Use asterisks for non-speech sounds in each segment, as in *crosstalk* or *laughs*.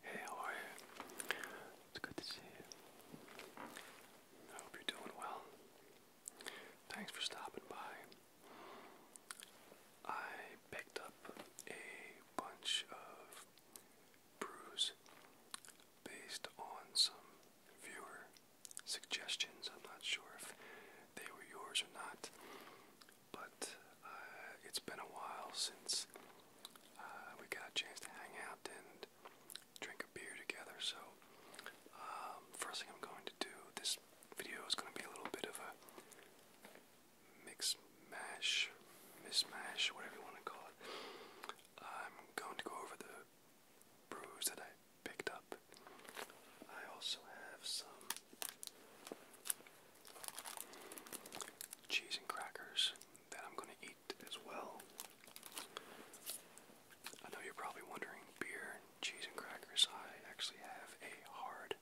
Hey, It's good to see you. I hope you're doing well. Thanks for stopping by. I picked up a bunch of brews based on some viewer suggestions. I'm not sure if they were yours or not but uh, it's been a while since uh, we got a chance to hang out and drink a beer together. So, um, first thing I'm going to do this video is going to be a little bit of a mix, mash, mismash, whatever you want to call it. I'm going to go over the brews that I picked up. I also have some cheese and crackers that I'm going to eat as well. I know you're probably wondering beer, cheese, and crackers. I actually have a hard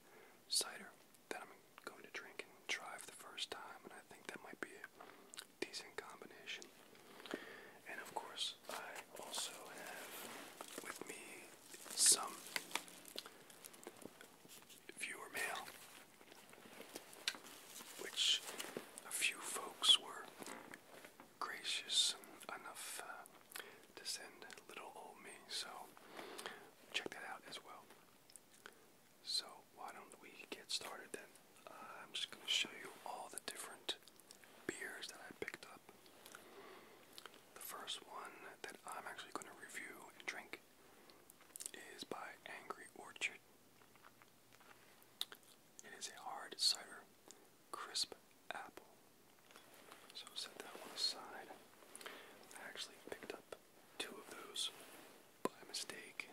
cider that I'm going to drink and try for the first time, and I think that might be a decent combination. And of course, I also have with me some viewer mail, which a few folks were gracious enough uh, to send little old me. So check that out as well. So why don't we get started then? Uh, I'm just going to show you all the different beers that I picked up. The first one that I'm actually going to review and drink is by Angry Orchard. It is a hard cider crisp apple. So set that one aside. I actually picked up two of those by mistake.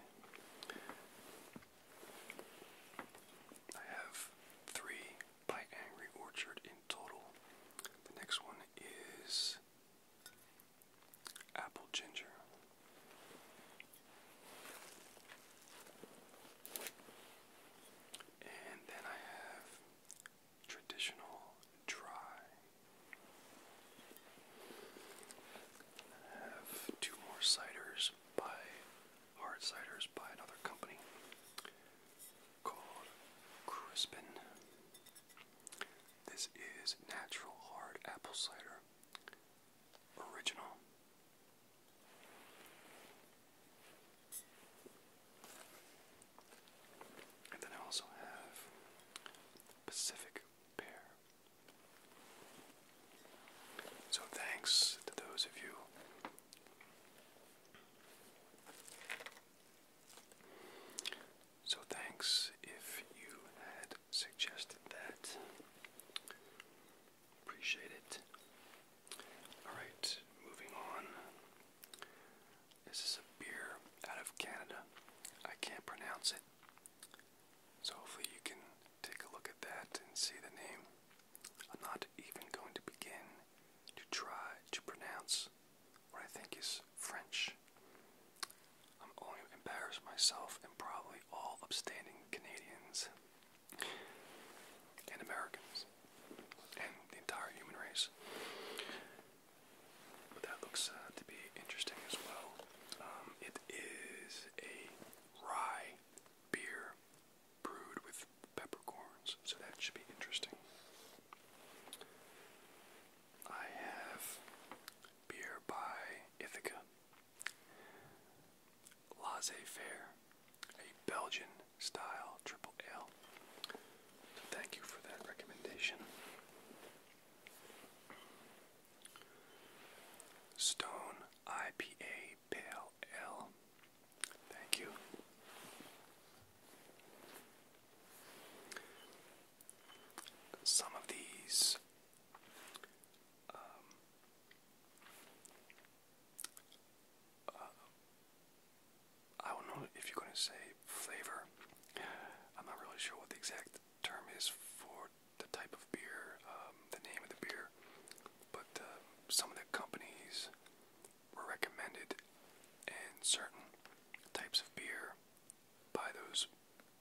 I have three by Angry Orchard in total. The next one is apple ginger. And then I have traditional dry. I have two more ciders by hard ciders by another company called Crispin. This is natural hard apple cider original. And then I also have Pacific Pear. So thanks to those of you so thanks if you had suggested that. Appreciate it. Alright, moving on. This is a beer out of Canada. I can't pronounce it. So hopefully you can take a look at that and see the name. I'm not even going to begin to try to pronounce what I think is French. I'm only embarrassed myself and probably all upstanding Canadians and Americans and the entire human race. But that looks uh, to be interesting as well. Um, it is a rye beer brewed with peppercorns, so that should be interesting. I have beer by Ithaca. Laissez Faire, a Belgian style triple ale. thank you for that recommendation. Stone IPA Pale Ale. Thank you. Some of these um, uh, I don't know if you're going to say flavor. I'm not really sure what the exact term is for the type of beer, um, the name of the beer, but uh, some of the companies were recommended, and certain types of beer by those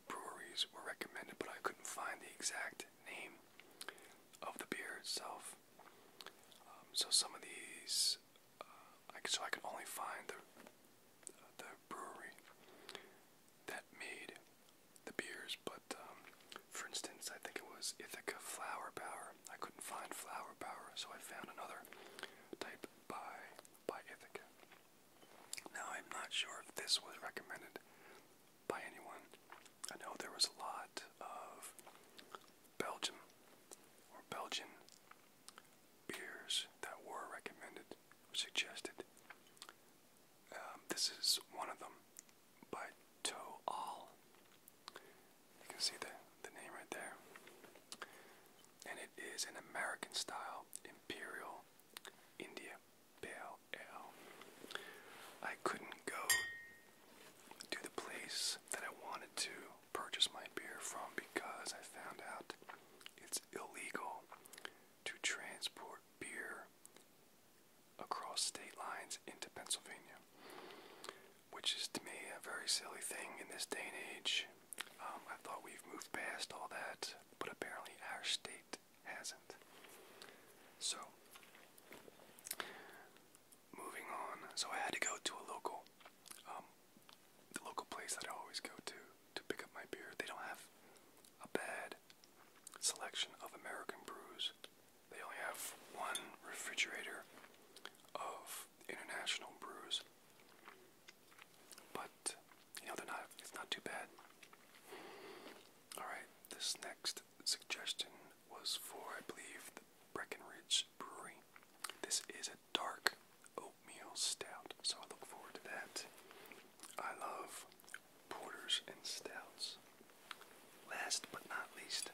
breweries were recommended, but I couldn't find the exact name of the beer itself. Um, so some of these, uh, so I could only find the uh, the brewery that made the beers. But um, for instance, I think it was Ithaca Flower Power. I couldn't find Flower Power, so I found another type by by Ithaca. Now, I'm not sure if this was recommended by anyone. I know there was a lot of Belgium or Belgian beers that were recommended, suggested. Um, this is one of them by Toal. You can see the, the name right there. And it is an American style imperial India Pale I couldn't go to the place that I wanted to purchase my beer from because I found out it's illegal to transport beer across state lines into Pennsylvania, which is to me a very silly thing in this day and age. Um, I thought we've moved past all that, but apparently our state hasn't. So, moving on. So I had to go to a local, um, the local place that I always go to to pick up my beer. They don't have a bad selection of American brews. They only have one refrigerator of international brews. But you know they're not it's not too bad. Alright, this next suggestion was for, I believe, the Breckenridge Brewery. This is a dark oatmeal stout, so I look forward to that. I love porters and stouts. Last but not least,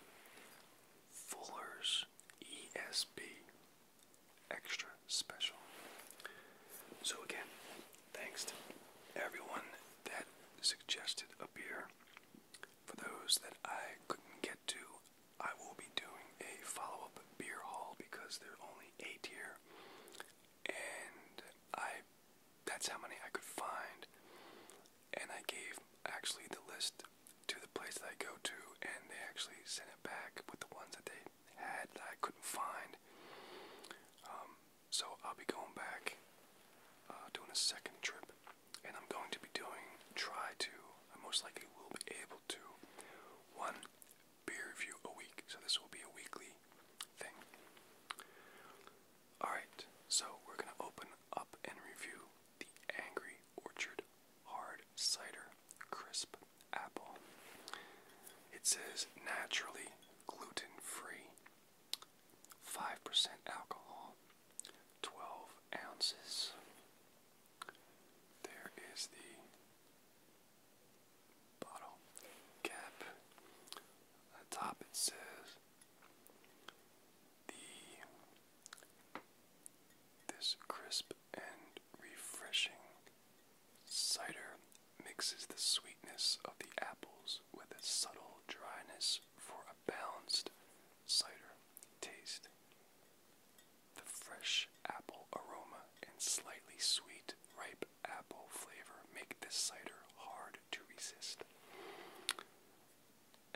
Fuller's ESB Extra Special. So, again, Thanks to everyone that suggested a beer. For those that I couldn't get to, I will be doing a follow up beer haul because there are only eight here. And I that's how many I could find. And I gave actually the list to the place that I go to, and they actually sent it back with the ones that they had that I couldn't find. Um, so I'll be going back, uh, doing a second trip, and I'm going to be doing, try to, I most likely will be able to, one beer review a week. So this will be a weekly thing. Alright, so we're going to open up and review the Angry Orchard Hard Cider Crisp Apple. It says naturally gluten free. Five percent alcohol, twelve ounces. There is the bottle cap. On the top it says the this crisp and refreshing cider mixes the sweetness of the apples with a subtle dryness for a balanced cider taste. The fresh apple aroma and slightly sweet ripe apple flavor make this cider hard to resist.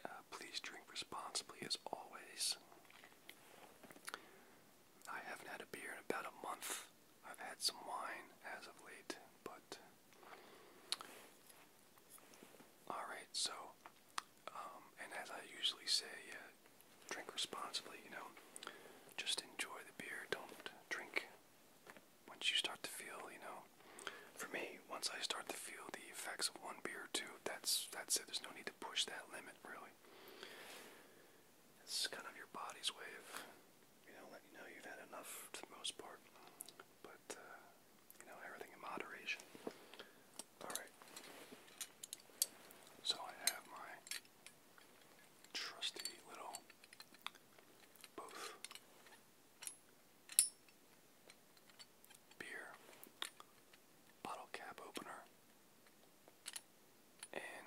Uh, please drink responsibly as always. I haven't had a beer in about a month. I've had some wine as of late, but Alright, so, um, and as I usually say, uh, drink responsibly, you know. Just enjoy the beer, don't drink once you start to feel, you know. For me, once I start to feel the effects of one beer or two, that's, that's it. There's no need to push that limit, really. It's kind of your body's way of you know, let you know you've had enough for the most part. But, uh, you know, everything in moderation. Alright. So I have my trusty little both beer bottle cap opener and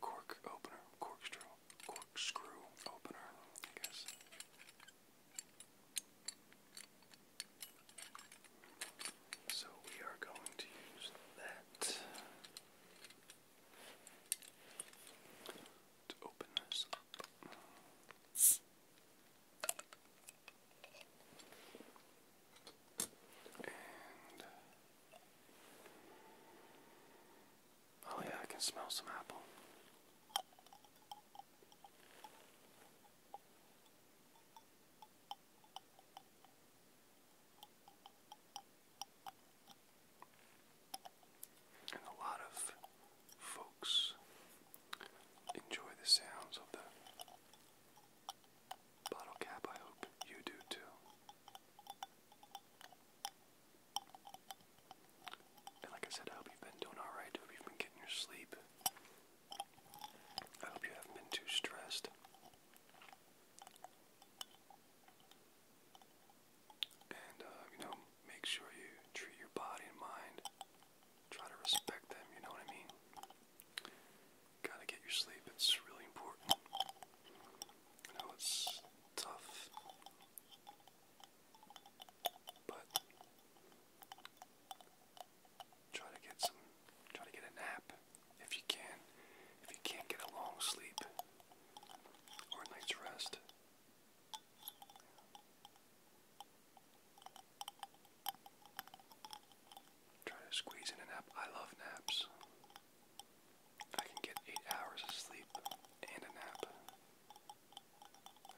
cork opener, corkscrew, corkscrew opener, guess. So we are going to use that to open this oh yeah, I can smell some apple. And a lot of folks enjoy the sounds of the bottle cap. I hope you do too. And like I said, I hope you've been doing alright. I hope you've been getting your sleep. I hope you haven't been too stressed. And, uh, you know, make sure you treat your body and mind. Try to respect them, you know what I mean? gotta get your sleep. It's really important. I know it's tough, but try to get some. Try to get a nap if you can. If you can't get a long sleep or night's rest. Try to squeeze in a nap. I love naps. I can get eight hours of sleep and a nap.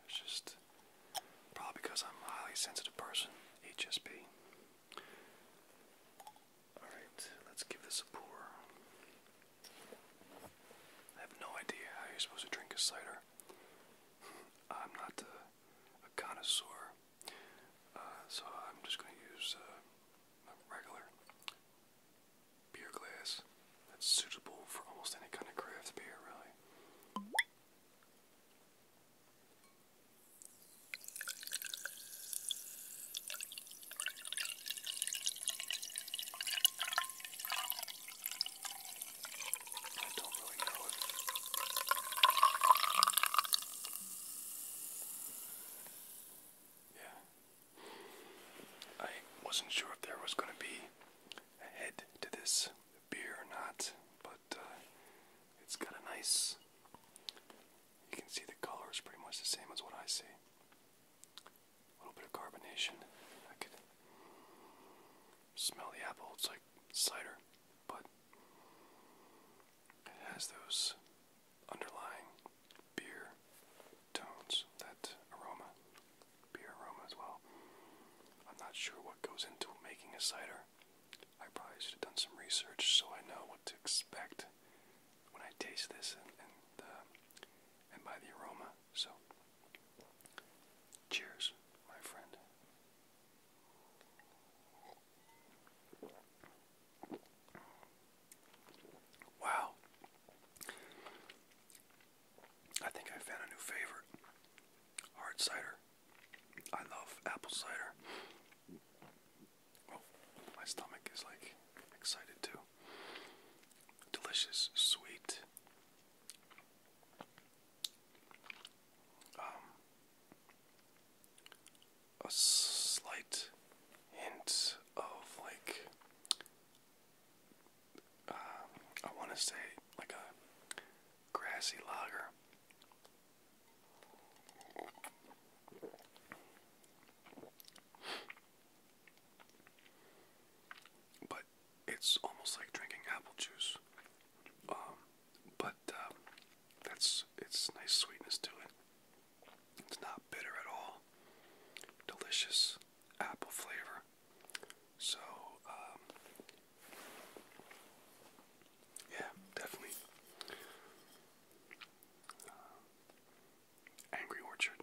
It's just probably because I'm a highly sensitive person, HSP. Alright, let's give this a pour. I have no idea how you're supposed to drink a cider. *laughs* I'm not a, connoisseur, uh, so I'm just going to use uh, regular beer glass that's suitable for almost any kind of craft beer, really. Yeah, I wasn't sure if there was going to be a head to this beer or not, but uh, it's got a nice. You can see the color is pretty much the same as what I see. A little bit of carbonation. I can smell the apple. It's like cider, but it has those underlying beer tones, that aroma, beer aroma as well. I'm not sure what goes into making a cider. I probably should have done some research so I know what to expect when I taste this and and, uh, by the aroma. So, cheers, my friend. Wow. I think I found a new favorite. Hard cider. I love apple cider. Oh, my stomach is like excited too. Delicious, sweet. Um, a slight hint of like uh, I want to say like a grassy lager. But it's almost like drinking apple juice. Um, but uh, that's it's nice sweetness to it. It's not bitter at all. Delicious apple flavor. So, um, yeah, definitely. Uh, Angry Orchard.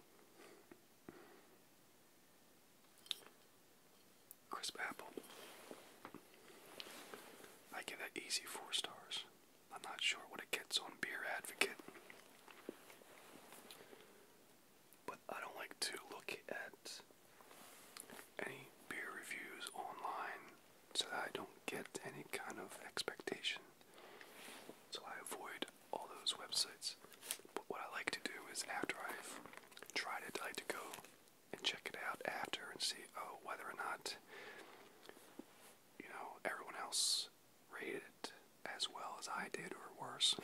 Crisp apple. I give that easy four stars. I'm not sure what it gets on Beer Advocate. But I don't like to look at any beer reviews online so that I don't get any kind of expectation. So I avoid all those websites. But what I like to do is after I've tried it, I like to go and check it out after and see oh whether or not you know everyone else rated it as well as I did or worse.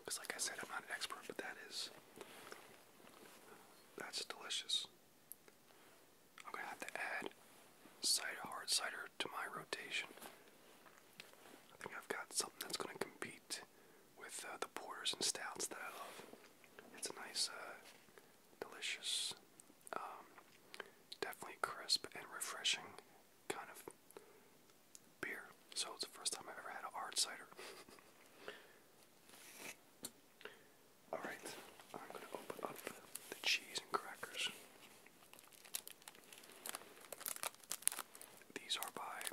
Because, *laughs* like I said, I'm not an expert, but that is. That's delicious. I'm gonna have to add cider, hard cider to my rotation. I think I've got something that's gonna compete with uh, the porters and stouts that I love. It's a nice, uh, delicious um, definitely crisp and refreshing kind of beer. So it's the first time I've ever had a hard cider. *laughs* Alright, I'm going to open up the cheese and crackers. These are by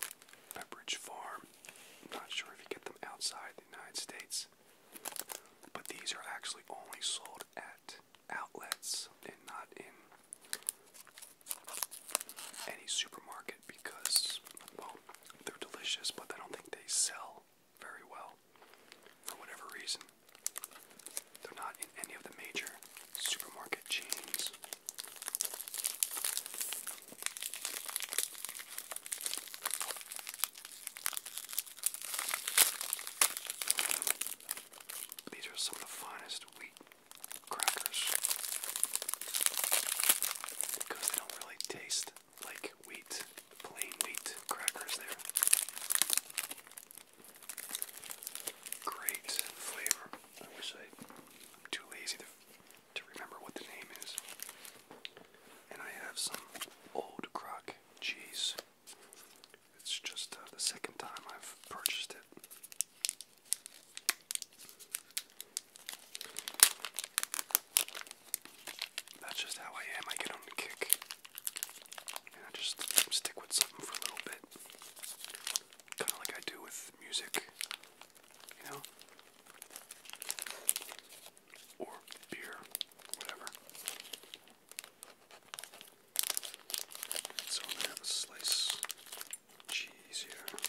Pepperidge Farm. not sure if you get them outside the United States, but these are actually only sold at outlets and not in any supermarket because, well, they're delicious, but I don't think they sell very well for whatever reason. They're not in any of the major supermarket chains. These are some of the finest wheat crackers because they don't really taste like wheat, plain wheat crackers. There, great flavor. too lazy to remember what the name is. And I have some old crock cheese it's just uh, the second time I've purchased it. That's just how I am. I get on the kick. And I just stick with something for a little bit. Kind of like I do with music, you know? Or beer, whatever. So I'm gonna have a slice of cheese here.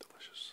Delicious.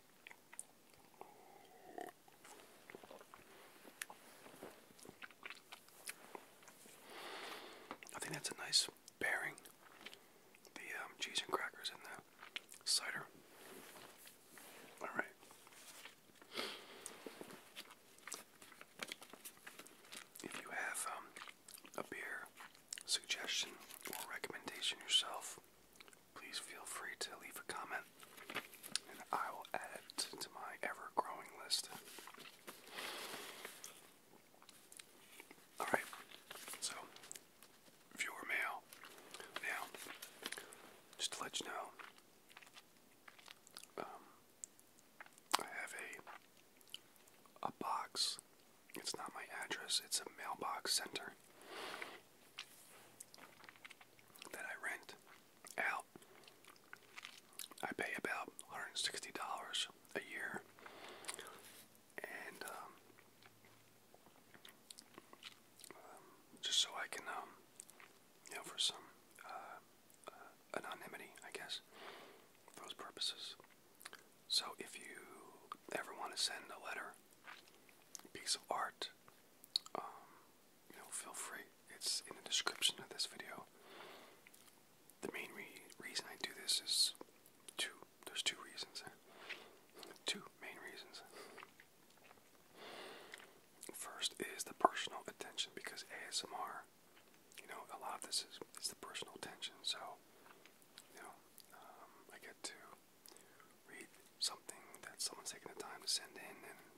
I think that's a nice pairing. The um, cheese and crackers and the cider. All right. If you have um, a beer suggestion or recommendation yourself, please feel free to leave a comment and I will add it to my ever growing list. Alright, so viewer mail. Now, just to let you know, um, I have a a box. It's not my address. It's a mailbox center that I rent out. I pay about $160 a year. And um, um, just so I can, um, you know, for some uh, uh, anonymity, I guess, those purposes. So if you ever want to send a letter, piece of art, um, you know, feel free. It's in the description of this video. The main reason I do this is two. There's two reasons. Two main reasons. First is the personal attention because ASMR, you know, a lot of this is, is the personal attention. So, you know, um, I get to read something that someone's taking the time to send in, and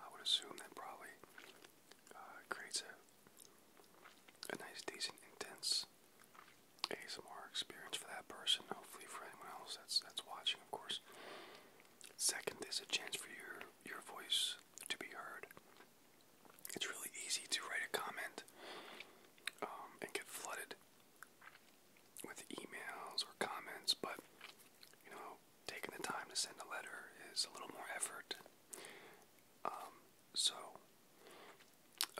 I would assume that probably uh, creates a nice, decent, intense ASMR experience for that person. Hopefully, for anyone else that's that's watching, of course. Second, there's a chance for your your voice to be heard. It's really easy to write a comment um, and get flooded with emails or comments, but you know taking the time to send a letter is a little more effort. Um, so,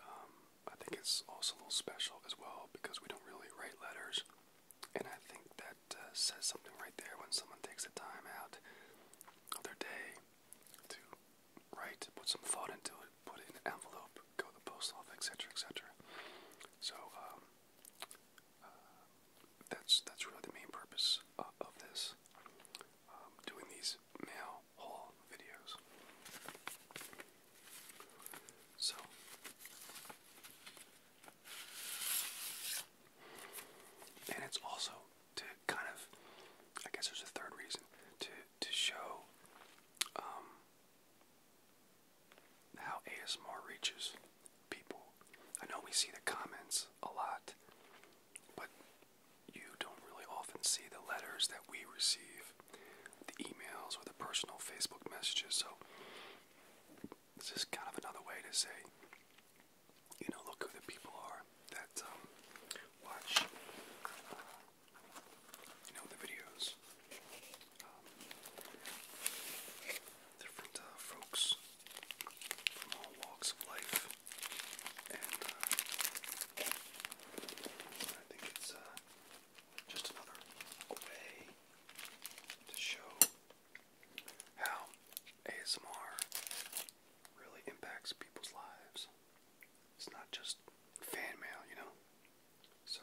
um, I think it's also a little special as well because we don't really write letters, and I think that uh, says something right there when someone takes the time out of their day to write, put some thought into it, put it in an envelope, go to the post office, etc., etc. So, um, that's that's really the main purpose uh, of this. Um, doing these mail haul videos. So. And it's also to kind of, I guess there's a third reason to to show um, how ASMR reaches people. I know we see the comments a lot, but you don't really often see the letters that we receive, the emails or the personal Facebook messages. So this is kind of another way to say, you know, look who the people are that um, watch, uh, you know, the videos. Um, different uh, folks from all walks of life, and uh, I think it's uh, just another way to show how ASMR really impacts people's lives. It's not just fan mail, you know? So,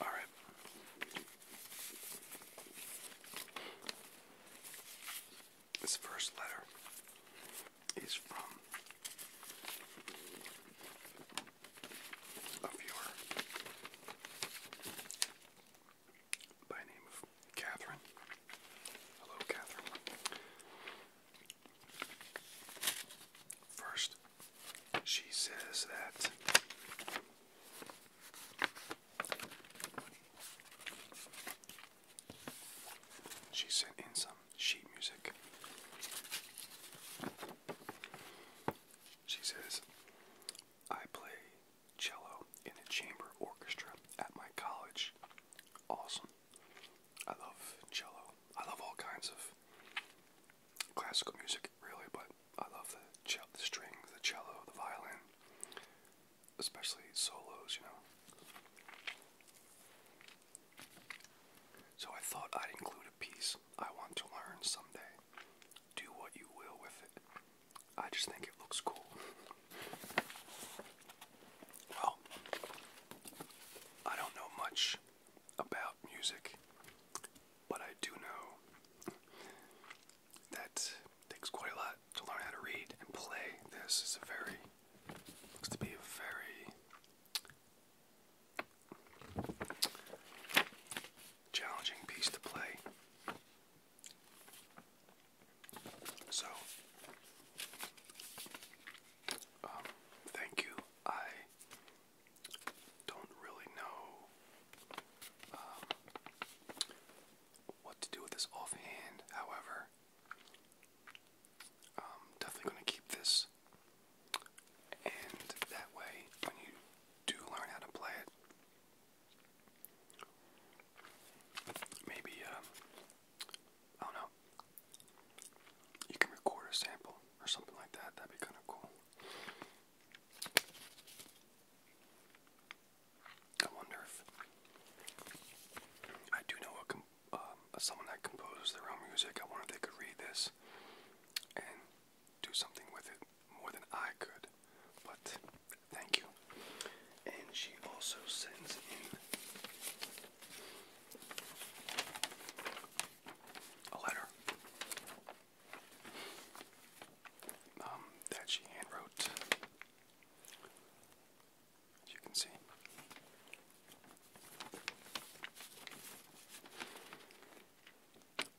All right. This first letter is from a viewer by name of Catherine. Hello, Catherine. First, she says that she sent in some sheet music. She says, I play cello in a chamber orchestra at my college. Awesome I love cello. I love all kinds of classical music, really, but I love the, the strings, the cello, the violin, especially solos, you know. So I thought I'd include a piece I want to learn someday. Do what you will with it. I just think it looks cool. *laughs* Well, I don't know much about music, but I do know that takes quite a lot to learn how to read and play. This is a very looks to be a very challenging piece to play. So, um, thank you. I don't really know um, what to do with this offhand. However, um, definitely going to keep this, and that way, when you do learn how to play it, maybe I don't know. You can record a sample or something like that. That'd be kind of cool. I wonder if I do know um, someone that composes their own music. I wonder if they could read this and do something with it more than I could. But thank you. And she also sends in a letter um, that she handwrote, as you can see.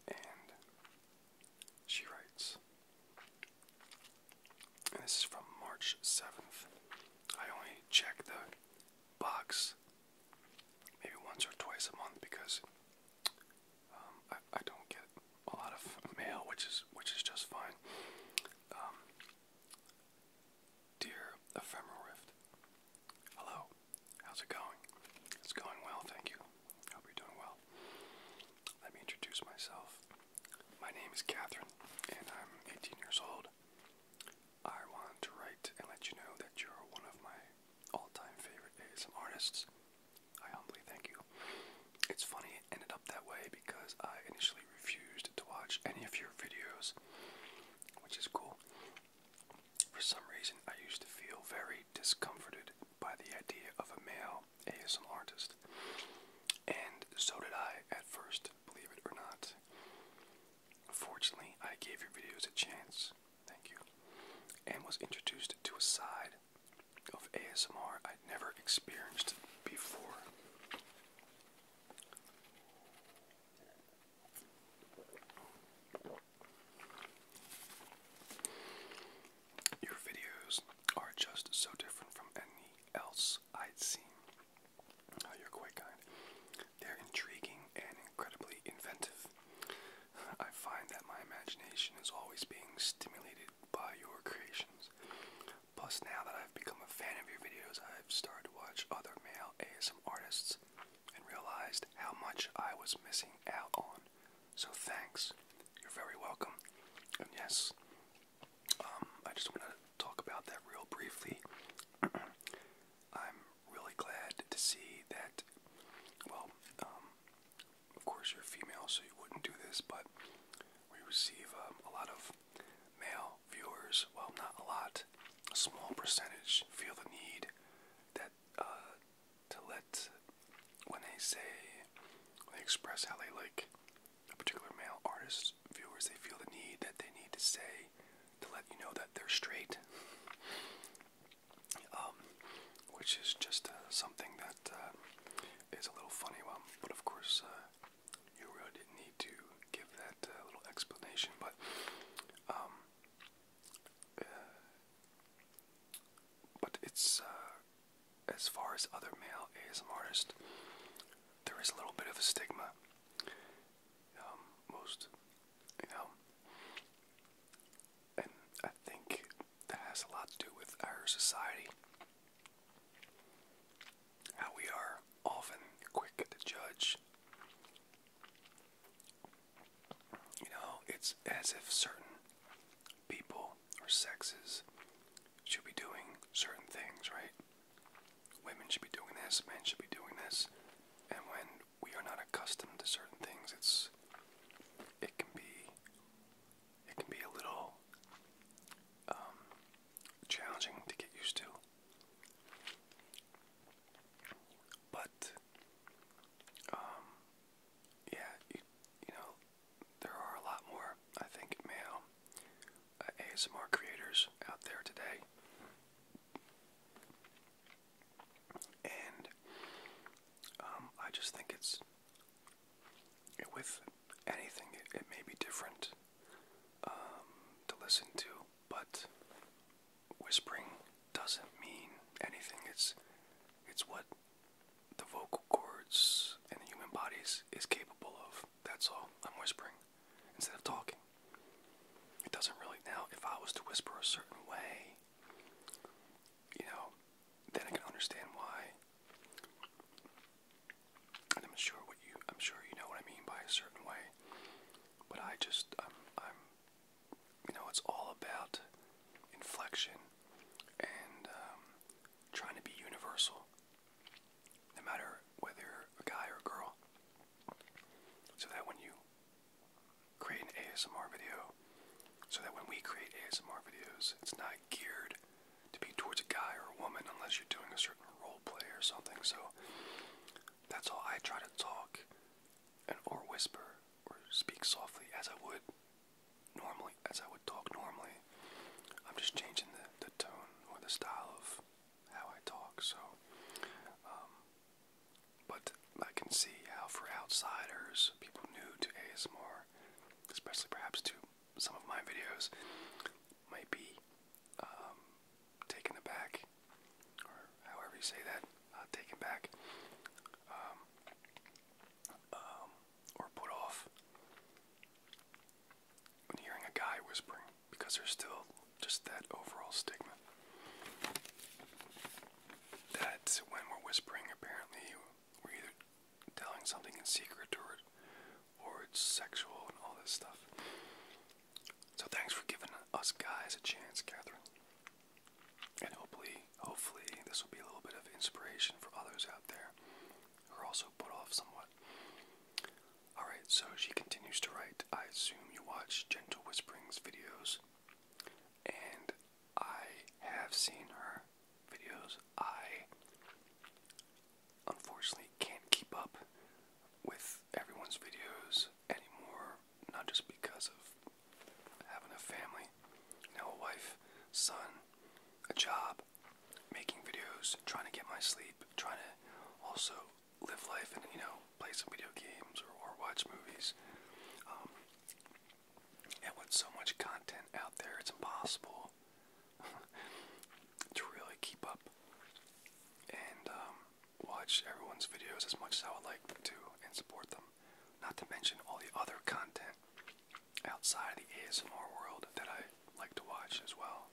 And she writes, this is from March 7th. I only check the box maybe once or twice a month because um, I, I don't get a lot of mail, which is which is just fine. Um, dear ephemeral rift, hello, how's it going? It's going well, thank you. I Hope you're doing well. Let me introduce myself. My name is Catherine, and I'm 18 years old. I want to write and let you know that you're one of my all time favorite ASM artists. I humbly thank you. It's funny it ended up that way because I initially refused to watch any of your videos, which is cool. For some reason, I used to feel very discomforted by the idea of a male ASM artist. And so did I at first, believe it or not. Fortunately, I gave your videos a chance. Thank you. And was introduced to a side of ASMR I'd never experienced before. Your videos are just so different from any else I'd seen. Oh, you're quite kind. They're intriguing and incredibly inventive. I find that my imagination is always being stimulated by your creations. Plus, now that I've become a fan of your videos, I've started to watch other male ASM artists and realized how much I was missing out on. So, thanks. You're very welcome. And yes, um, I just want to talk about that real briefly. *clears throat* I'm really glad to see that, well, um, of course you're female, so you wouldn't do this, but we receive um, a lot of male viewers. Well, not a lot, a small percentage feel the need that uh, to let when they say, they express how they like a particular male artist, viewers, they feel the need that they need to say to let you know that they're straight, um, which is just uh, something that uh, a little funny. Um, but of course, uh, you really didn't need to give that little explanation. But um, but it's as far as other male ASM artists, there is a little bit of a stigma um, most, you know, and I think that has a lot to do with our society. How we are often quick to judge. You know, it's as if certain people or sexes should be doing certain things, right? women should be doing this, men should be doing this, and when we are not accustomed to certain things, it's it can be it can be a little um, challenging to get used to. But um, yeah, you, you know, there are a lot more I think male uh, ASMR creators out there today. And um, I just think it's, with anything, it, may be different um, to listen to, but whispering doesn't mean anything. It's, it's what the vocal cords and the human bodies is capable of. That's all. I'm whispering instead of talking. It doesn't really. Now, if I was to whisper a certain way, you know, then I can understand why. And I'm sure you, I'm sure you know what I mean by a certain way. But I just, I'm, you know, it's all about inflection and um, trying to be universal, no matter whether a guy or a girl so that when you create an ASMR video, so that when we create ASMR videos, it's not geared to be towards a guy or a woman unless you're doing a certain role play or something. So that's all I try to talk and or whisper or speak softly as I would normally as I would talk normally. I'm just changing the, tone or the style of how I talk. So um, but I can see how, for outsiders, people new to ASMR, especially perhaps to some of my videos, might be um, taken aback, or however you say that, uh, taken back, um, um, or put off when hearing a guy whispering because there's still just that overall stigma that when we're whispering, apparently we're either telling something in secret or, or it's sexual and all this stuff. So thanks for giving us guys a chance, Catherine. And hopefully, hopefully this will be a little bit of inspiration for others out there who are also put off somewhat. Alright, so she continues to write. I assume you watch Gentle Whisperings videos, and I have seen her videos. I unfortunately can't keep up with everyone's videos anymore, not just because of having a family, now a wife, son, a job, making videos, trying to get my sleep, trying to also live life and you know play some video games or, or watch movies. Um, and with so much content out there, it's impossible *laughs* to really keep up and um, watch everyone's videos as much as I would like to and support them. Not to mention all the other content outside of the ASMR world that I like to watch as well.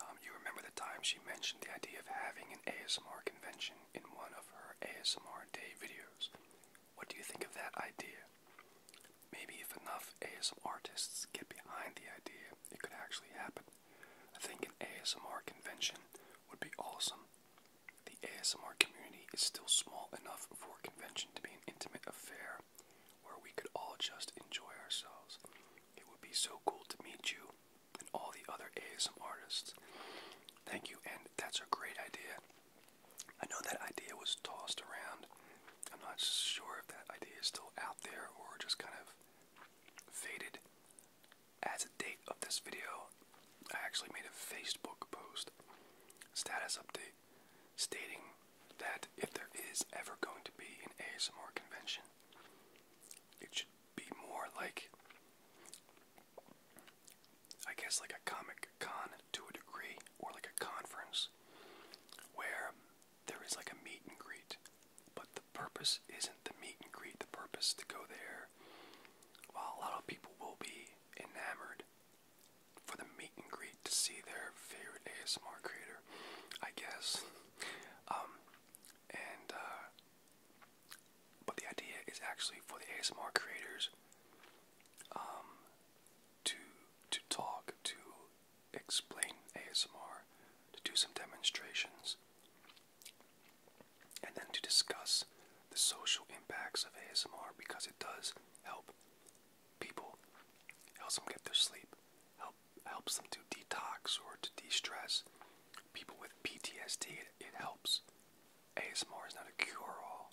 Um, you remember the time she mentioned the idea of having an ASMR convention in one of her ASMR Day videos. What do you think of that idea? Maybe if enough ASMR artists get behind the idea, it could actually happen. I think an ASMR convention would be awesome. The ASMR community is still small enough for a convention to be an intimate affair where we could all just enjoy ourselves. It would be so cool to meet you and all the other ASMR artists. Thank you, and that's a great idea. I know that idea was tossed around. I'm not sure if that idea is still out there or just kind of faded. As a date of this video, I actually made a Facebook post status update stating that if there is ever going to be an ASMR convention, it should be more like I guess like a comic con to a degree or like a conference where there is like a meet and greet. But the purpose isn't the meet and greet, the purpose to go there while a lot of people will be enamored for the meet and greet to see their favorite ASMR creator, I guess. Um, and uh, but the idea is actually for the ASMR creators um, to to talk, to explain ASMR, to do some demonstrations, and then to discuss the social impacts of ASMR because it does help people, helps them get their sleep, help helps them to detox or to de-stress people with PTSD, it, helps. ASMR is not a cure all,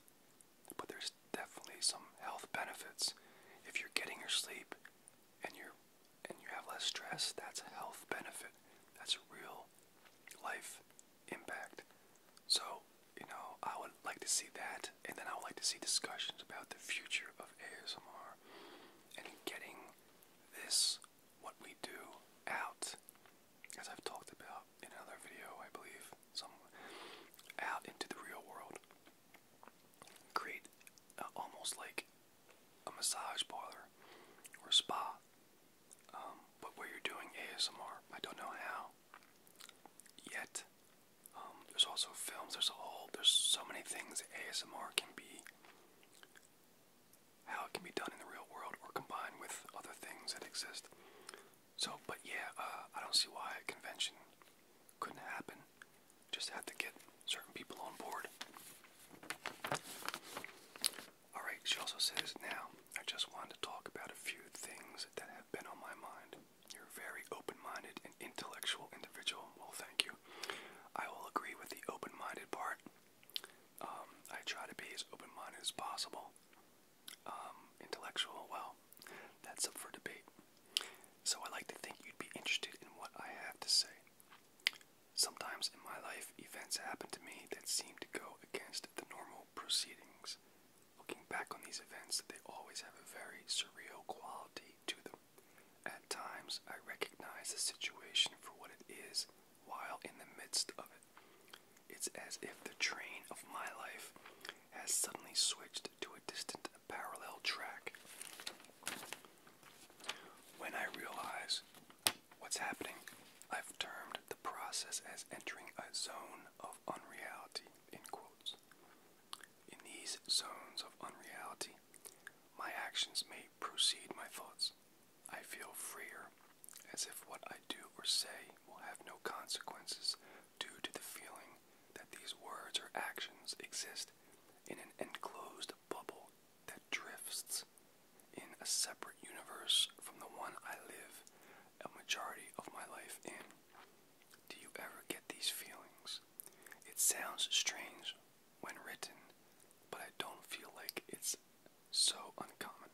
but there's definitely some health benefits. If you're getting your sleep and you're and you have less stress, that's a health benefit. That's a real life impact. So, you know, I would like to see that, and then I would like to see discussions about the future of ASMR and getting this what we do out, as I've talked about in another video, I believe, some out into the real world. Create almost like a massage parlor or spa, um, but where you're doing ASMR. I don't know how yet. Um, there's also films. There's all. There's so many things ASMR can be how it can be done in the real world or combined with other things that exist. So, but yeah, uh, I don't see why a convention couldn't happen. Just have to get certain people on board. Alright, she also says, now, I just wanted to talk about a few things that have been on my mind. You're a very open minded and intellectual individual. Well, thank you. I will agree with the open minded part. Um, I try to be as open-minded as possible. Um, intellectual, well, that's up for debate. So I like to think you'd be interested in what I have to say. Sometimes in my life, events happen to me that seem to go against the normal proceedings. Looking back on these events, they always have a very surreal quality to them. At times, I recognize the situation for what it is while in the midst of it. It's as if the train of my life has suddenly switched to a distant parallel track. When I realize what's happening, I've termed the process as entering a zone of unreality, in quotes. In these zones of unreality, my actions may precede my thoughts. I feel freer as if what I do or say will have no consequences due to the feeling that these words or actions exist in an enclosed bubble that drifts in a separate universe from the one I live a majority of my life in. Do you ever get these feelings? It sounds strange when written, but I don't feel like it's so uncommon.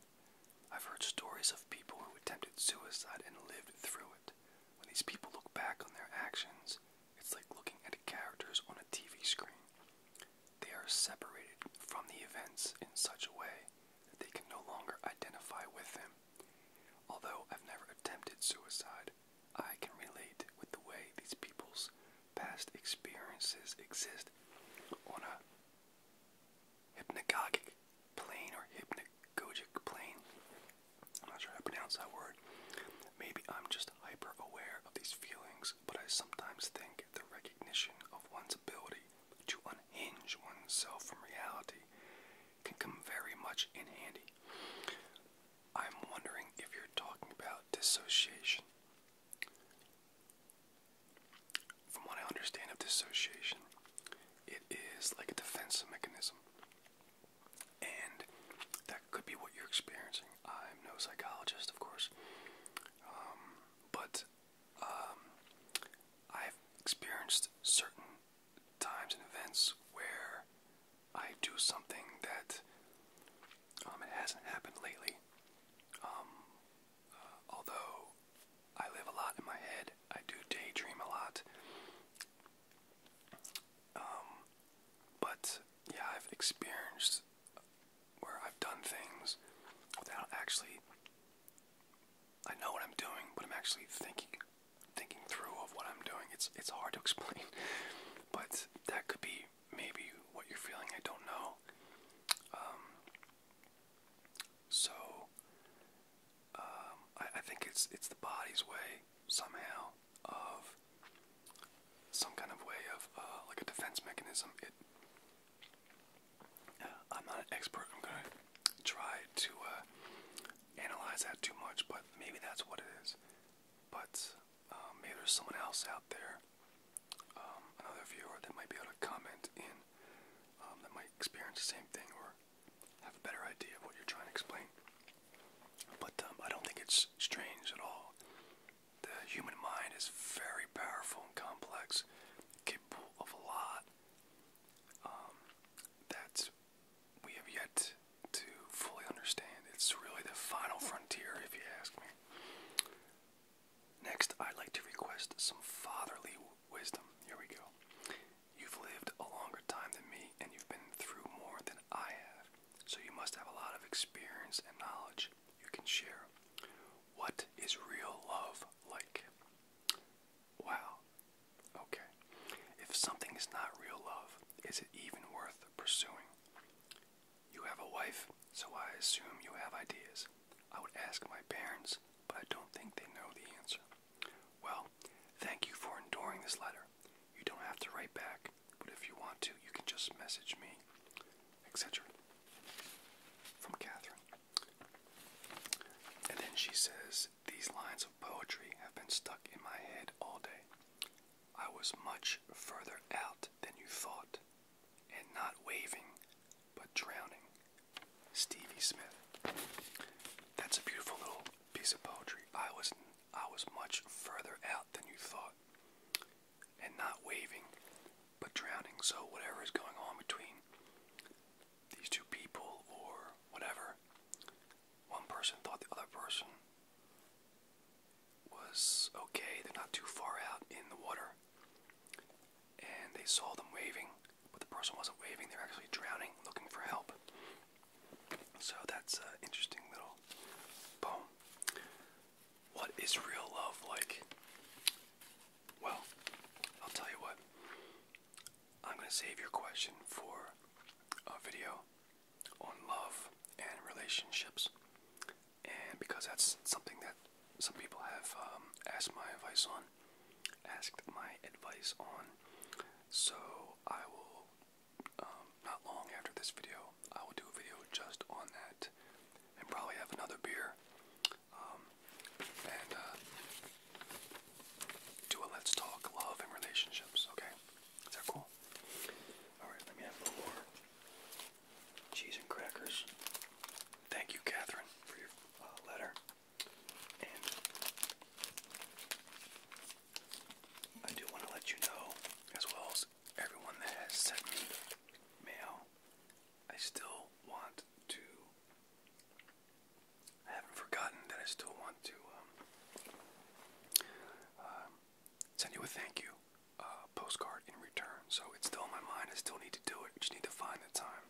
I've heard stories of people who attempted suicide and lived through it. When these people look back on their actions, it's like looking at characters on a TV screen. They are separated from the events in such a way that they can no longer identify with them. Although I've never attempted suicide, I can relate with the way these people's past experiences exist on a hypnagogic plane or hypnagogic plane. I'm not sure how to pronounce that word. Maybe I'm just hyper aware of these feelings, but I sometimes think the recognition of one's ability to unhinge oneself from reality can come very much in handy. I'm wondering if you're talking about dissociation. From what I understand of dissociation, it is like a defense mechanism. And that could be what you're experiencing. I'm no psychologist, of course, um, but um, I've experienced certain times and events where I do something that um, it hasn't happened lately, um, although I live a lot in my head, I do daydream a lot. Um, but yeah, I've experienced where I've done things without actually. I know what I'm doing, but I'm actually thinking, thinking through of what I'm doing. It's it's hard to *laughs* explain, but that could be maybe what you're feeling. I don't know. Um, so um, I, think it's it's the body's way somehow of some kind of way of uh, like a defense mechanism. It uh, I'm not an expert. I'm gonna try to uh, analyze that too much, but maybe that's what it is. But um, maybe there's someone else out there um, another viewer that might be able to comment in um, that might experience the same thing or have a better idea of what you're trying to explain. But um, I don't think it's strange at all. The human mind is very powerful and complex, capable of a lot um, that we have yet to fully understand. It's really the final frontier, if you ask me. Next, I'd like to request some fatherly wisdom. Here we go. You've lived a longer time than me, and you've been through more than I have, so you must have a lot of experience and knowledge you can share. What is real love like? Wow. Okay. If something is not real love, is it even worth pursuing? You have a wife so I assume you have ideas. I would ask my parents, but I don't think they know the answer. Well, thank you for enduring this letter. You don't have to write back, but if you want to, you can just message me, etc. From Catherine. And then she says, These lines of poetry have been stuck in my head all day. I was much further out than you thought, and not waving, but drowning. Stevie Smith. That's a beautiful little piece of poetry. I was I was much further out than you thought. And not waving, but drowning. So whatever is going on between these two people or whatever, one person thought the other person was okay, they're not too far out in the water and they saw them waving, but the person wasn't waving, they're actually drowning, looking for help. So that's an interesting little poem. What is real love like? Well, I'll tell you what. I'm going to save your question for a video on love and relationships. And because that's something that some people have um, asked my advice on, asked my advice on. So I will, um, not long after this video, I will do a video just on that, and probably have another beer, um, and uh, do a let's talk love and relationships. Okay, is that cool? All right, let me have a little more cheese and crackers thank you, Catherine, for your uh, letter. I do want to let you know, as well as everyone that has sent me mail, I still want to. I haven't forgotten that I still want to um, um, send you a thank you uh, postcard in return. So it's still in my mind. I still need to do it. Just need to find the time.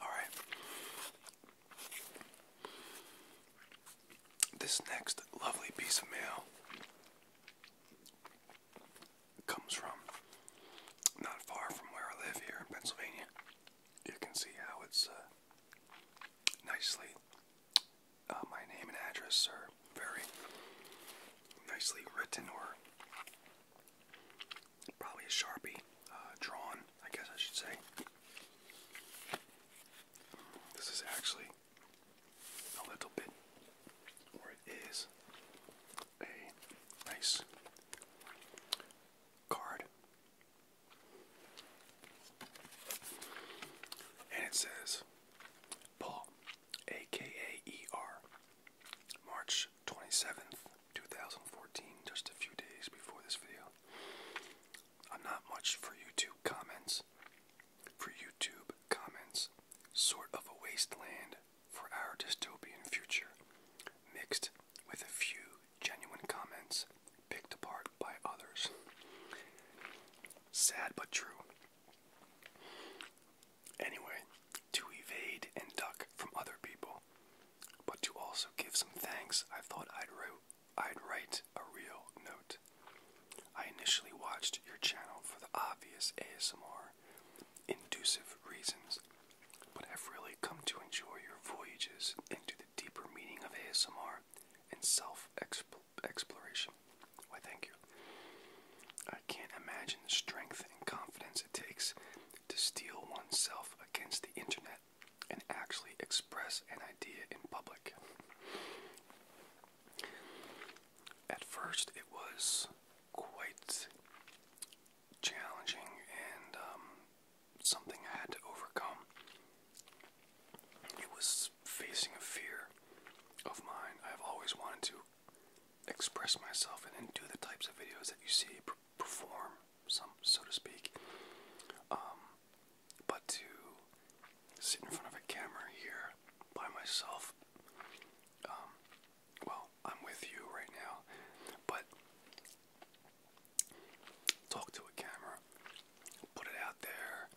All right. This next lovely piece of mail comes from not far from where I live here in Pennsylvania you can see how it's uh, nicely, uh, my name and address are very nicely written or probably a Sharpie uh, drawn, I guess I should say. This is actually a little bit, or it is, a nice card and it says Paul, aka March 27th, 2014, just a few days before this video. not much for YouTube comments. For YouTube comments, sort of a wasteland for our dystopian future, mixed with a few genuine comments picked apart by others. Sad but true. Anyway, to evade and duck from other people, but to also give some thanks, I thought I'd, wrote, I'd write a real note. I initially watched your channel for the obvious ASMR inducive reasons, but have really come to enjoy your voyages into deeper meaning of ASMR and self exploration. Why, thank you. I can't imagine the strength and confidence it takes to steel oneself against the internet and actually express an idea in public. At first, it was quite challenging and um, something I had to overcome. It was facing a fear of mine. I've always wanted to express myself and do the types of videos that you see perform, some so to speak. Um, but to sit in front of a camera here by myself, um, well, I'm with you right now, but talk to a camera, put it out there,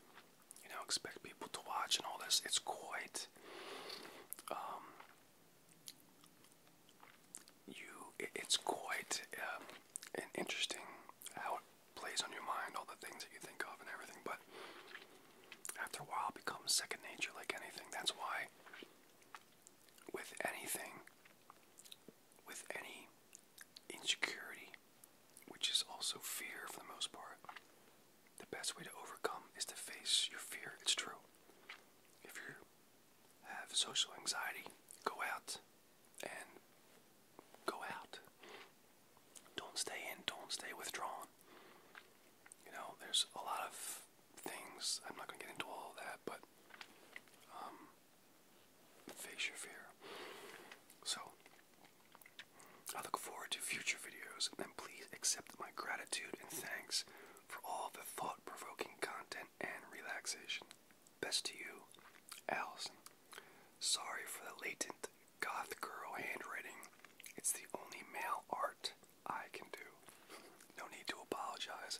you know, expect people to watch and all this. It's quite um, you. it's quite um, interesting how it plays on your mind, all the things that you think of and everything. But after a while, it becomes second nature, like anything. That's why with anything, with any insecurity, which is also fear for the most part. The best way to overcome is to face your fear. It's true. If you have social anxiety, go out and go out. Don't stay in, don't stay withdrawn. You know, there's a lot of things, I'm not going to get into all of that, but um, Face your fear. So, I look forward to future videos and please accept my gratitude and thanks for all the thought provoking content and relaxation. Best to you, Allison. Sorry for the latent goth girl handwriting. It's the only male art I can do. No need to apologize.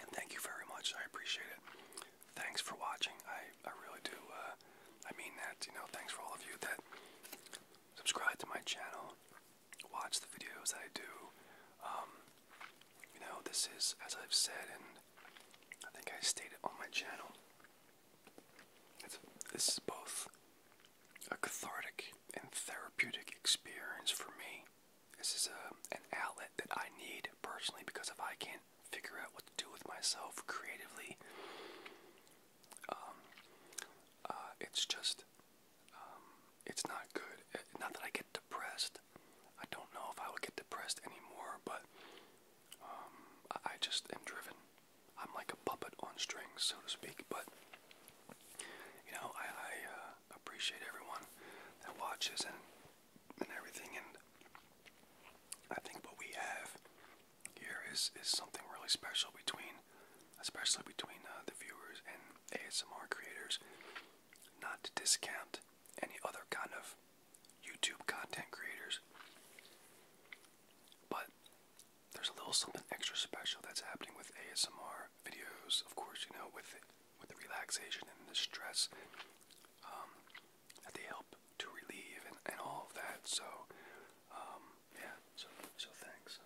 And thank you very much. I appreciate it. Thanks for watching. I, I really do. Uh, I mean that. You know, thanks for all of you that subscribe to my channel, watch the videos that I do. Um, you know, this is, as I've said, and I think I stated on my channel, this is both a cathartic and therapeutic experience for me. This is a, uh, an outlet that I need personally because if I can't figure out what to do with myself creatively, um, uh, it's just, um, it's not good. Uh, not that I get depressed. I don't know if I would get depressed anymore, but um, I, just am driven. I'm like a puppet on strings, so to speak. But you know, I, I uh, appreciate everyone that watches and and everything. And I think what we have here is is something really special between, especially between uh, the viewers and ASMR creators. Not to discount any other kind of YouTube content creators, but there's a little something extra special that's happening with ASMR videos. Of course, you know, with with the relaxation and the stress um, that they help to relieve and, all of that. So, um, yeah, so, so thanks.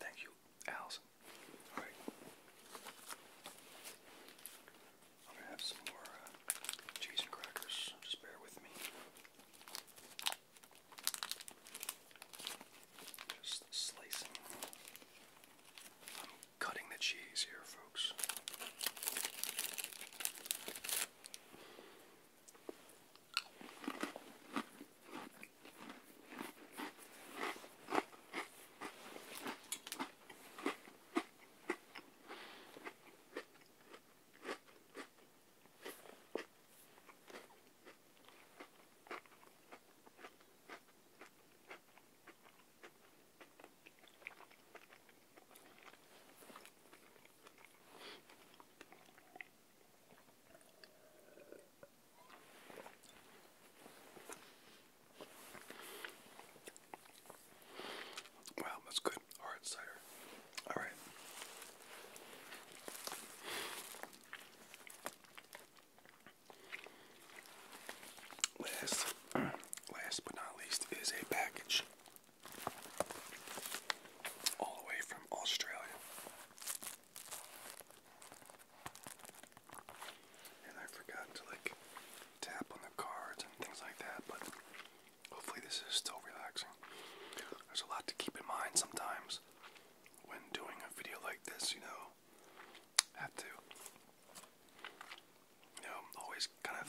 thank you, Allison. All right. I'm going to have some more cheese uh, and crackers. Just bear with me. Just slicing cutting the cheese here, folks. Wow, that's good. Hard cider. All right. Last, *clears throat* last but not least, is a package all the way from Australia. And I forgot to like tap on the cards and things like that, but hopefully this is still relaxing. There's a lot to keep in mind sometimes when doing a video like this, you know have to, you know, always kind of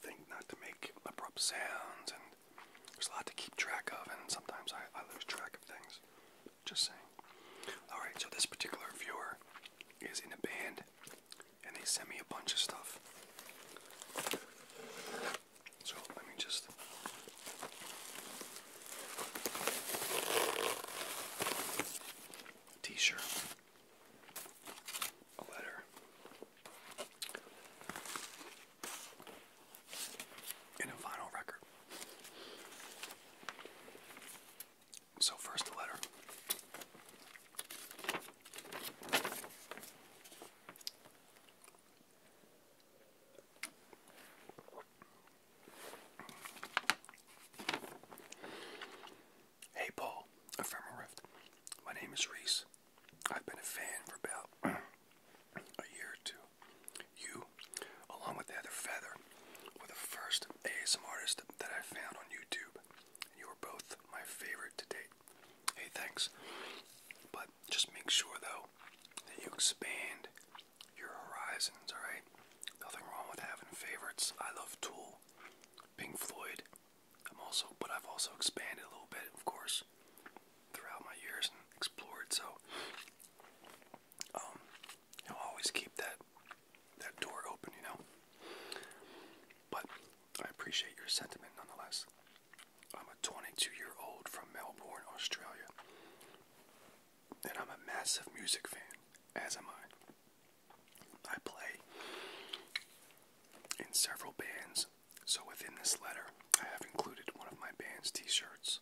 think not to make abrupt sounds, and there's a lot to keep track of, and sometimes I, I lose track of things. Just saying. Alright, so this particular viewer is in a band, and they sent me a bunch of stuff. So let me just. T shirt a letter. In a vinyl record. So, first, the letter. Hey Paul, a rift. My name is Reese. I've been a fan for about *clears throat* a year or two. You, along with the other feather, were the first ASM artist that I found on YouTube. You are both my favorite to date. Hey, thanks. But just make sure though that you expand your horizons, alright? Nothing wrong with having favorites. I love Tool. Pink Floyd. I'm also, but I've also expanded a little bit, of course, throughout my years and explored. So, um, you always keep that that door open, you know. But I appreciate your sentiment nonetheless. I'm a 22 year old from Melbourne, Australia, and I'm a massive music fan, as am I. I play in several bands, so within this letter, I have included one of my band's t shirts.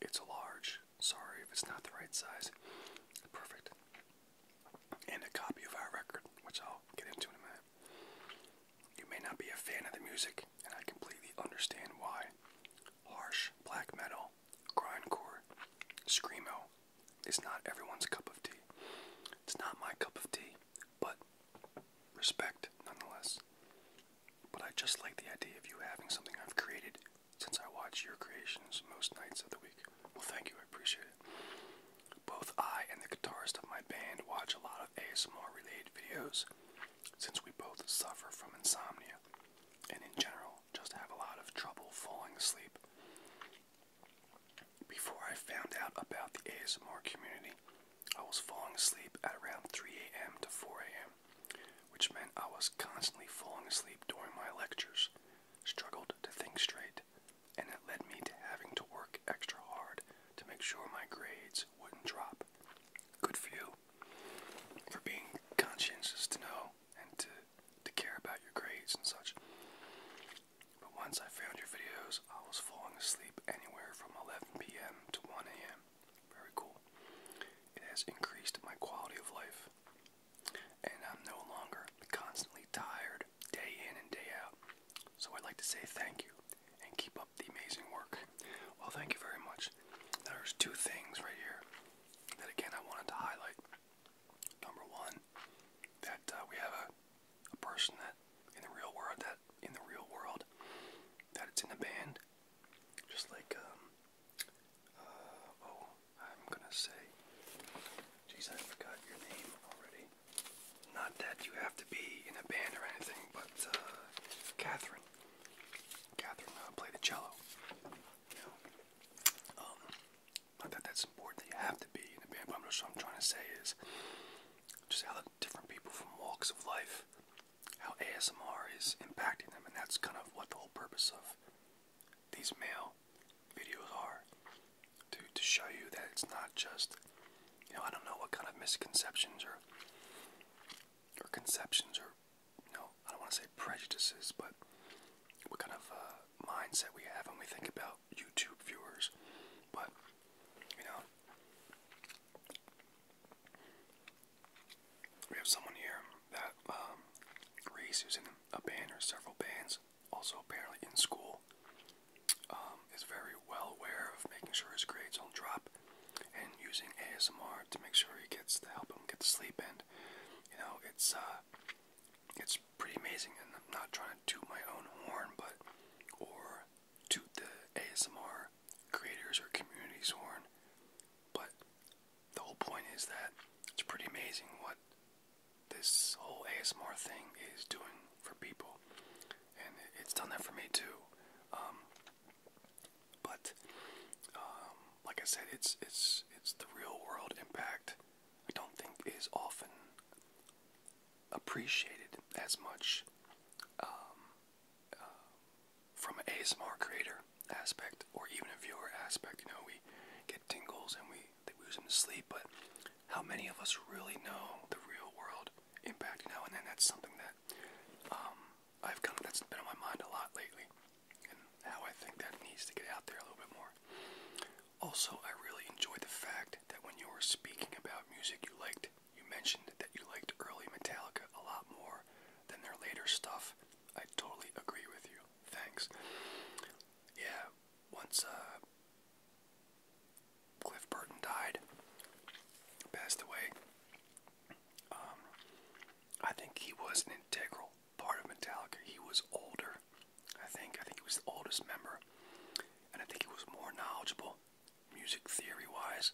It's a large, sorry if it's not the right size, perfect, and a copy of our record, which I'll get into in a minute. You may not be a fan of the music, and I completely understand why. Harsh black metal, grindcore, screamo, it's not everyone's cup of tea. It's not my cup of tea, but respect nonetheless. But I just like the idea of you having something I've created since I watch your creations most nights of the week. Well, thank you, I appreciate it. Both I and the guitarist of my band watch a lot of ASMR related videos since we both suffer from insomnia and in general just have a lot of trouble falling asleep. Before I found out about the ASMR community, I was falling asleep at around 3 a.m. to 4 a.m., which meant I was constantly falling asleep during my lectures, struggled to think straight, and it led me to having to work extra hard to make sure my grades wouldn't drop. Good for you for being conscientious to know and to to care about your grades and such. But once I found your videos, I was falling asleep anywhere from 11 p.m. to 1 a.m. Very cool. It has increased my quality of life, and I'm no longer constantly tired day in and day out. So I'd like to say thank you and keep up the amazing work. Well, thank you very much. There's two things right here that, again, I wanted to highlight. Number one, that uh, we have a, person that in the real world that in the real world that it's in a band, just like um, uh, oh, I'm gonna say, jeez, I forgot your name already. Not that you have to be in a band or anything, but uh, Catherine, Catherine uh, play the cello. Um, not that that's important that you have to be in the band, but I'm just what I'm trying to say is just how different people from walks of life, how ASMR is impacting them, and that's kind of what the whole purpose of these male videos are to to show you that it's not just you know I don't know what kind of misconceptions or or conceptions or you know I don't want to say prejudices, but what kind of uh, mindset we have when we think about YouTube viewers. But, you know, we have someone here that um, who's in a band or several bands, also apparently in school, um, is very well aware of making sure his grades don't drop and using ASMR to make sure he gets the help him get to sleep. And, you know, it's, uh, uh, it's pretty amazing. And I'm not trying to toot my own horn, but or toot the ASMR creators or community's horn, but the whole point is that it's pretty amazing what this whole ASMR thing is doing for people, and it's done that for me too. Um, but um, like I said, it's it's it's the real world impact I don't think is often appreciated as much um, uh, from a ASMR creator aspect or even a viewer aspect. You know, we get tingles and we, we use them to sleep, but how many of us really know the real world impact? You know, and then that's something that um, I've kind of that's been on my mind a lot lately, and how I think that needs to get out there a little bit more. Also, I really enjoy the fact that when you were speaking about music you liked, you mentioned that you liked early Metallica a lot more than their later stuff. I totally agree with you. Thanks. Yeah, once uh, Cliff Burton died, passed away, um, I think he was an integral part of Metallica. He was older, I think. I think he was the oldest member, and I think he was more knowledgeable, music theory-wise.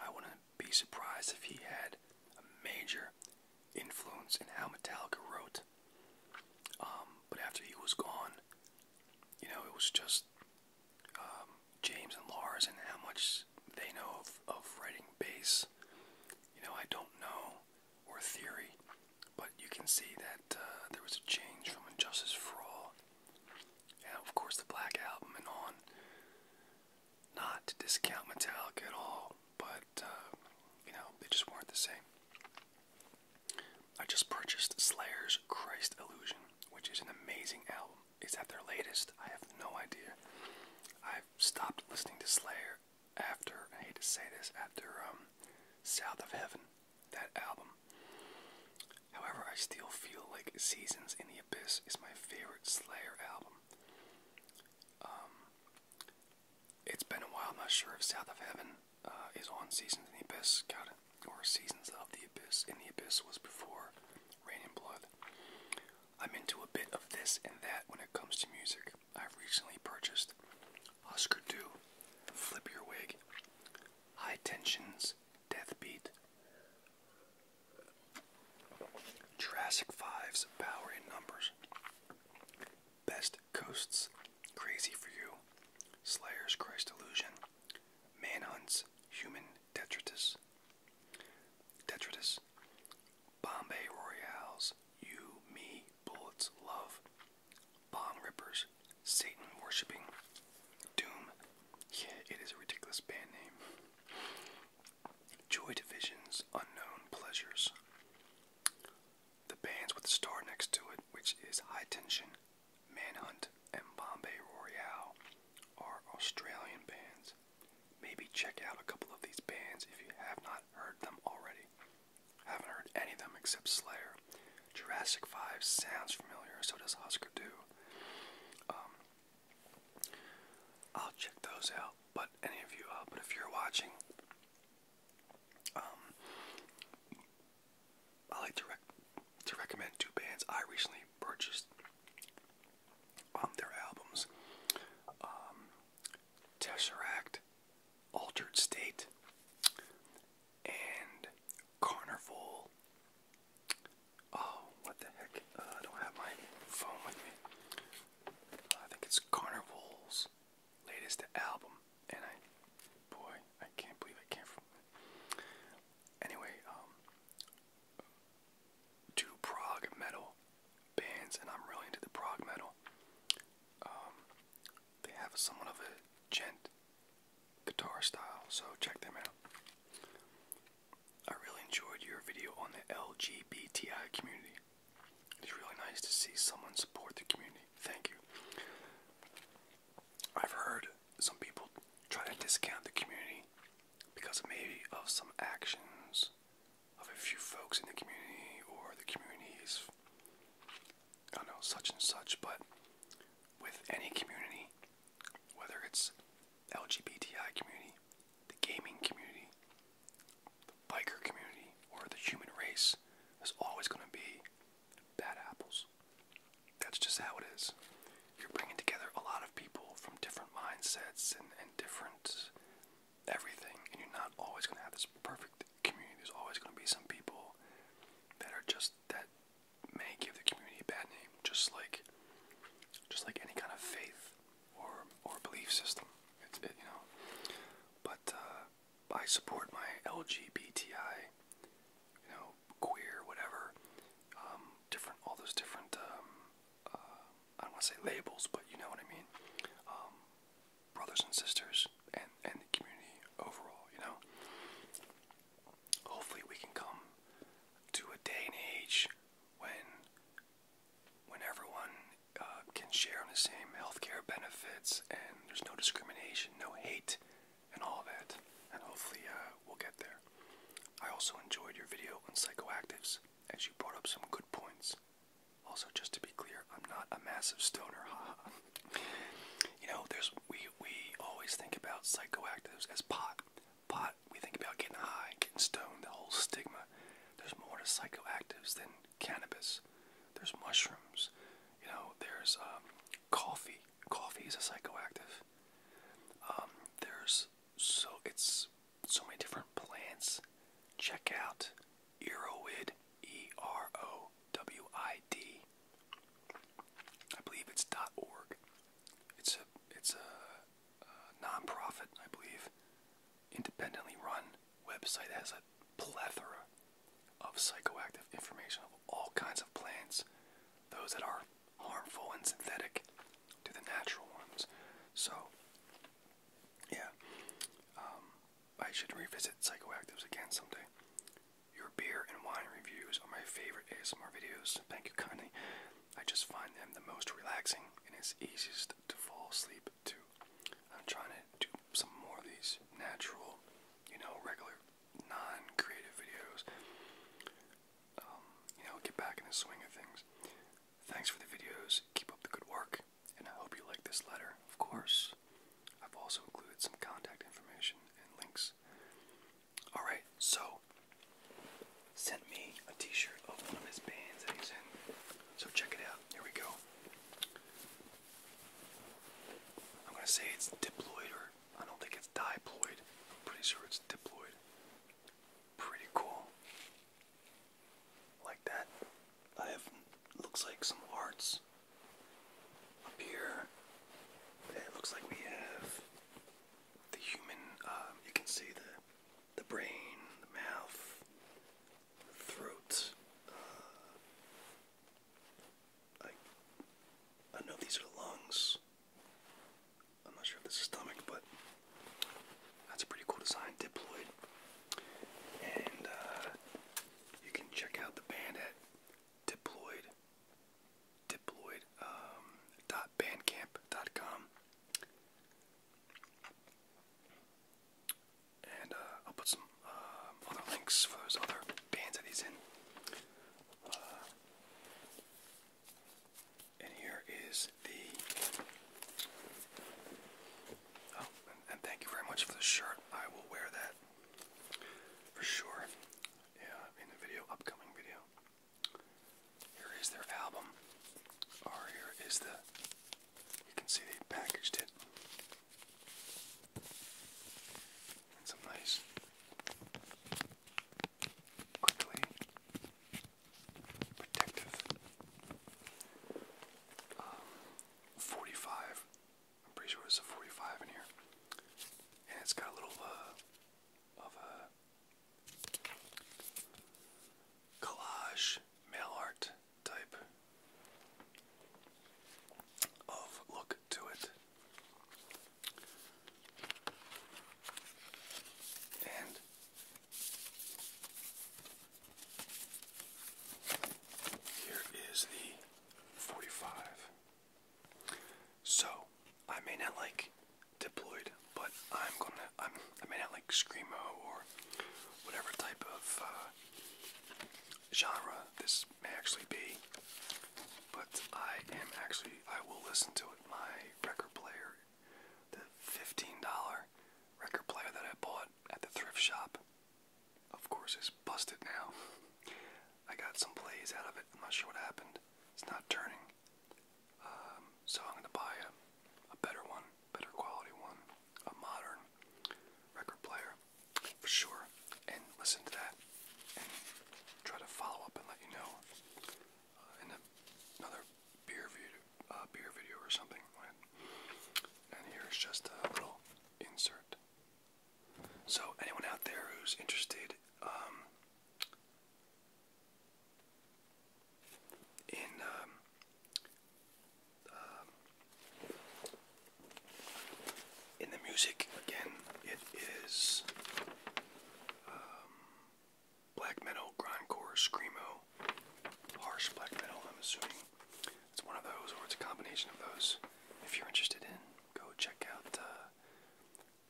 I wouldn't be surprised if he had a major influence in how Metallica wrote. Um, but after he was gone, you know, it was just um, James and Lars and how much they know of, of writing bass. You know, I don't know or theory, but you can see that uh, there was a change from Injustice for All, and of course the Black Album, and on. Not to discount Metallica at all, but uh, you know they just weren't the same. I just purchased Slayer's Christ Illusion, which is an amazing album. Is that their latest? I have no idea. I've stopped listening to Slayer after I hate to say this after um, South of Heaven, that album. However, I still feel like Seasons in the Abyss is my favorite Slayer album. Um, it's been a while. I'm not sure if South of Heaven uh, is on Seasons in the Abyss. Got Or Seasons of the Abyss. In the Abyss was before Rain and Blood. I'm into a bit of this and that when it comes to music. i recently purchased Oscar, 2, Flip Your Wig, High Tensions, Death Beat, Jurassic 5's Power in Numbers, Best Coasts, Crazy for You, Slayer's Christ Illusion, Manhunt's Human Detritus, Detritus, Bombay Royale's You, Me, bullets love, bomb rippers, Satan worshipping, doom. Yeah, it is a ridiculous band name. Joy Division's Unknown Pleasures. The bands with the star next to it, which is High Tension, Manhunt, and Bombay Royale, are Australian bands. Maybe check out a couple of these bands if you have not heard them already. I haven't heard any of them except Slayer. Jurassic 5 sounds familiar, so does Husker Du. Um, I'll check those out, but any of you, uh, but if you're watching, um, I like to, rec to recommend two bands I recently purchased on their albums. Um, Tesseract, Altered State, and Carnival. Oh, what the heck? Uh, I don't have my phone with me. I think it's Carnival's latest album, and I, boy, I can't believe I can't. Anyway, um, two Prague metal bands, and I'm really into the Prague metal. Um, they have somewhat of a gent guitar style, so check them out. I really enjoyed your video on the LGBTI community. It's really nice to see someone support the community. Thank you. I've heard some people try to discount the community because maybe of some actions of a few folks in the community or the communities. I don't know, such and such, but with any community, whether it's LGBTI community, the gaming community, the biker community, or the human race, there's always going to be bad apples. That's just how it is. You're bringing together a lot of people from different mindsets and, and different everything, and you're not always going to have this perfect community, there's always going to be some people that are just that may give the community a bad name, just like just like any kind of faith or or belief system. It's it, you know, but uh, I support my LGBTI, you know, queer, whatever, um, different, all those different. Um, uh, I don't want to say labels, but you know what I mean. Um, brothers and sisters and, and the community overall, you know? Hopefully we can come to a day and age when when everyone uh, can share in the same healthcare benefits and there's no discrimination, no hate, and all that. And hopefully uh, we'll get there. I also enjoyed your video on psychoactives, as you brought up some good points. Also, just to be clear, I'm not a massive stoner, you know, there's we we always think about psychoactives as pot. Pot, we think about getting high, getting stoned, the whole stigma. There's more to psychoactives than cannabis. There's mushrooms. You know, there's um, coffee. Coffee is a psychoactive. Um, there's so it's so many different plants. Check out Earowid, E R O W I D. I believe it's .org. It's a it's a, nonprofit, I believe, independently run website that has a plethora of psychoactive information of all kinds of plants, those that are harmful and synthetic to the natural ones. So, yeah, um, I should revisit psychoactives again someday. Your beer and wine reviews are my favorite ASMR videos. Thank you kindly. I just find them the most relaxing and it's easiest to fall asleep to. I'm trying to do some more of these natural, you know, regular, non-creative videos. Um, you know, get back in the swing of things. Thanks for the videos. Keep up the good work, and I hope you like this letter, of course. I've also included some contact information and links. Alright, so sent me a t-shirt of one of his bands that he's in. So check it out. Here we go. I'm gonna say it's diploid or I don't think it's diploid. I'm pretty sure it's diploid. Pretty cool. Like that. I have looks like some hearts up here. It looks like we have the human. Um, you can see the the brain, the mouth, the throat. Uh, I know these are the lungs. I'm not sure if this is stomach, but that's a pretty cool design, diploid. And uh, you can check out the band diploid diploid um, dot bandcamp.com and uh, I'll put some um, other links for those other bands that he's in. Uh, and here is the. Oh, and thank you very much for the shirt. I will wear that for sure yeah, in the video, upcoming video. Here is their album, or here is the, you can see they packaged it. some nice, quickly protective um, 45 I'm pretty sure it's a 45 in here. And it's got a little uh, of a collage mail art type of look to it. And here is the 45. So I may not like deployed, but I'm gonna i may not like screamo or whatever type of uh, genre this may actually be, but I am actually I will listen to it. My record player, the fifteen dollar record player that I bought at the thrift shop, of course is busted now. I got some plays out of it. I'm not sure what happened. It's not turning. Um, so I'm going to buy a, a better one, better quality one, a modern record player for sure, and listen to that and try to follow up and let you know uh, in another beer video, uh, beer video or something. And here's just a little insert. So anyone out there who's interested um, in um, um, in the music again, it is black metal, grindcore, screamo, harsh black metal. I'm assuming it's one of those, or it's a combination of those. If you're interested in, go check out. Uh,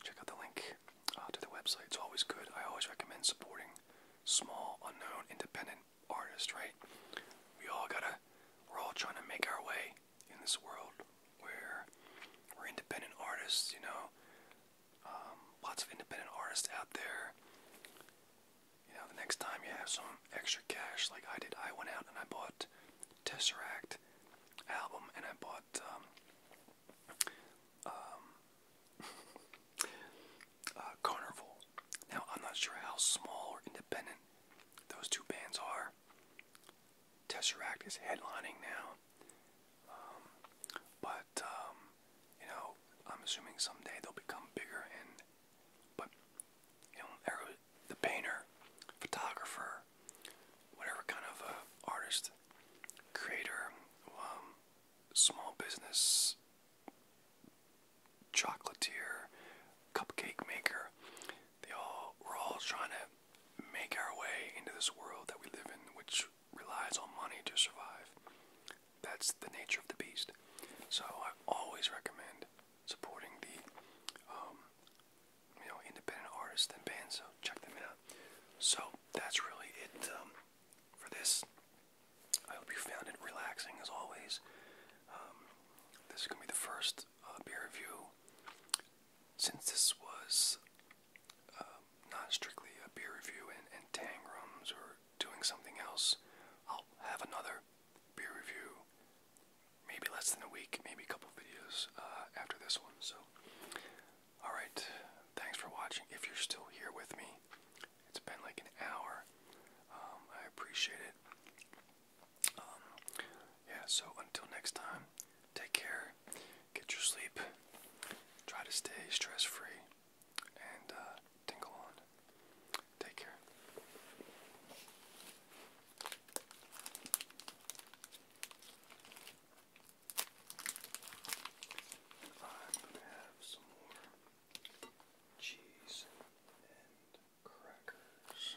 check out the link uh, to the website. It's always good. I always recommend supporting small, unknown, independent artists, right? We all gotta, we're all trying to make our way in this world where we're independent artists, you know. Um, lots of independent artists out there. You know, the next time you have some extra cash, like I did, I went out and I bought Tesseract album, and I bought um, um *laughs* uh, Now I'm not sure how small or independent those two bands are. Tesseract is headlining now, um, but um, you know I'm assuming someday they'll become bigger. And but you know, the painter, photographer, whatever kind of uh, artist, creator, um, small business, chocolatier, cupcake maker, they all we're all trying to make our way into this world that we live in, which relies on money to survive. That's the nature of the beast. So I always recommend supporting the um, you know, independent artists and bands, so check them out. So that's really it um, for this. I hope you found it relaxing as always. Um, this is gonna be the first uh, beer review since this was um, not strictly a beer review and, tangrams or doing something else. I'll have another beer review maybe less than a week, maybe a couple videos uh, after this one. So, all right, thanks for watching. If you're still here with me, it's been like an hour. Um, I appreciate it. Um, yeah. So until next time, take care. Get your sleep. Try to stay stress free, and uh, tingle on. Take care. I'm gonna have some more cheese and crackers.